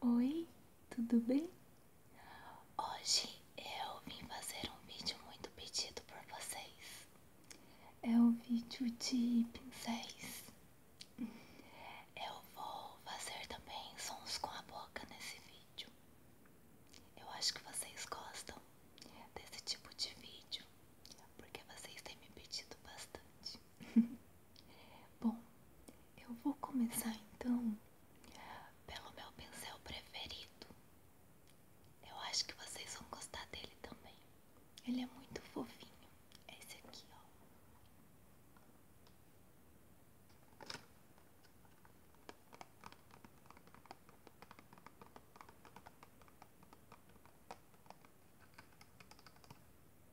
Oi, tudo bem? Hoje eu vim fazer um vídeo muito pedido por vocês. É um vídeo de pincéis. Eu vou fazer também sons com a boca nesse vídeo. Eu acho que vocês gostam desse tipo de vídeo, porque vocês têm me pedido bastante. Bom, eu vou começar então pelo meu pincel preferido. Eu acho que vocês vão gostar dele também. Ele é muito fofinho. esse aqui, ó.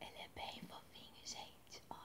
Ele é bem fofinho, gente. Olha.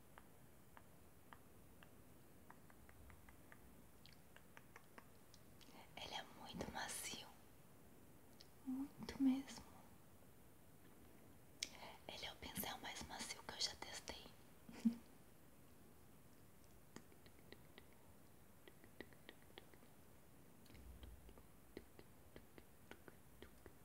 Ele é muito macio, muito mesmo. Ele é o pincel mais macio que eu já testei.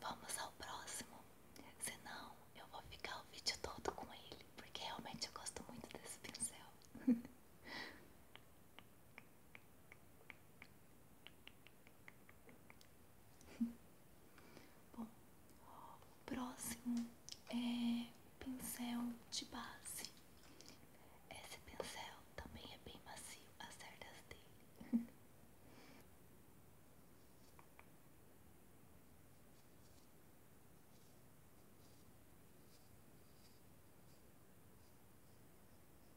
Vamos ao próximo, senão eu vou ficar o vídeo todo com ele, porque realmente eu gosto muito desse pincel. Bom, o próximo é pincel de base. Esse pincel também é bem macio, as cerdas dele.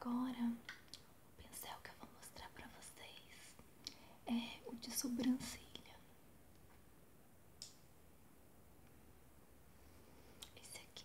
Agora, o pincel que eu vou mostrar para vocês é o de sobrancelha. Esse aqui.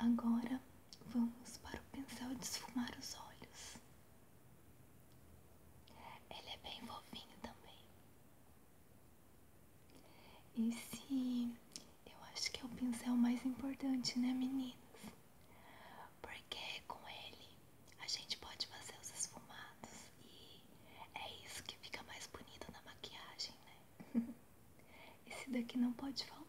Agora vamos para o pincel desfumar os olhos. Ele é bem fofinho também. Esse eu acho que é o pincel mais importante, né, meninas? Porque com ele a gente pode fazer os esfumados e é isso que fica mais bonito na maquiagem, né? Esse daqui não pode faltar.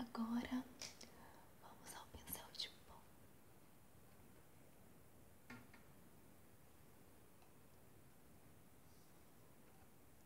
Agora vamos ao pincel de pó.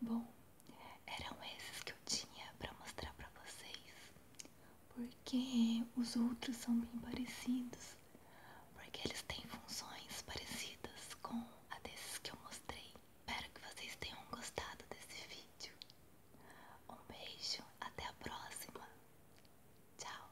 Bom, eram esses que eu tinha para mostrar para vocês, porque os outros são bem parecidos, porque eles têm funções parecidas com aqueles que eu mostrei. Espero que vocês tenham gostado desse vídeo. Um beijo, até a próxima. Tchau.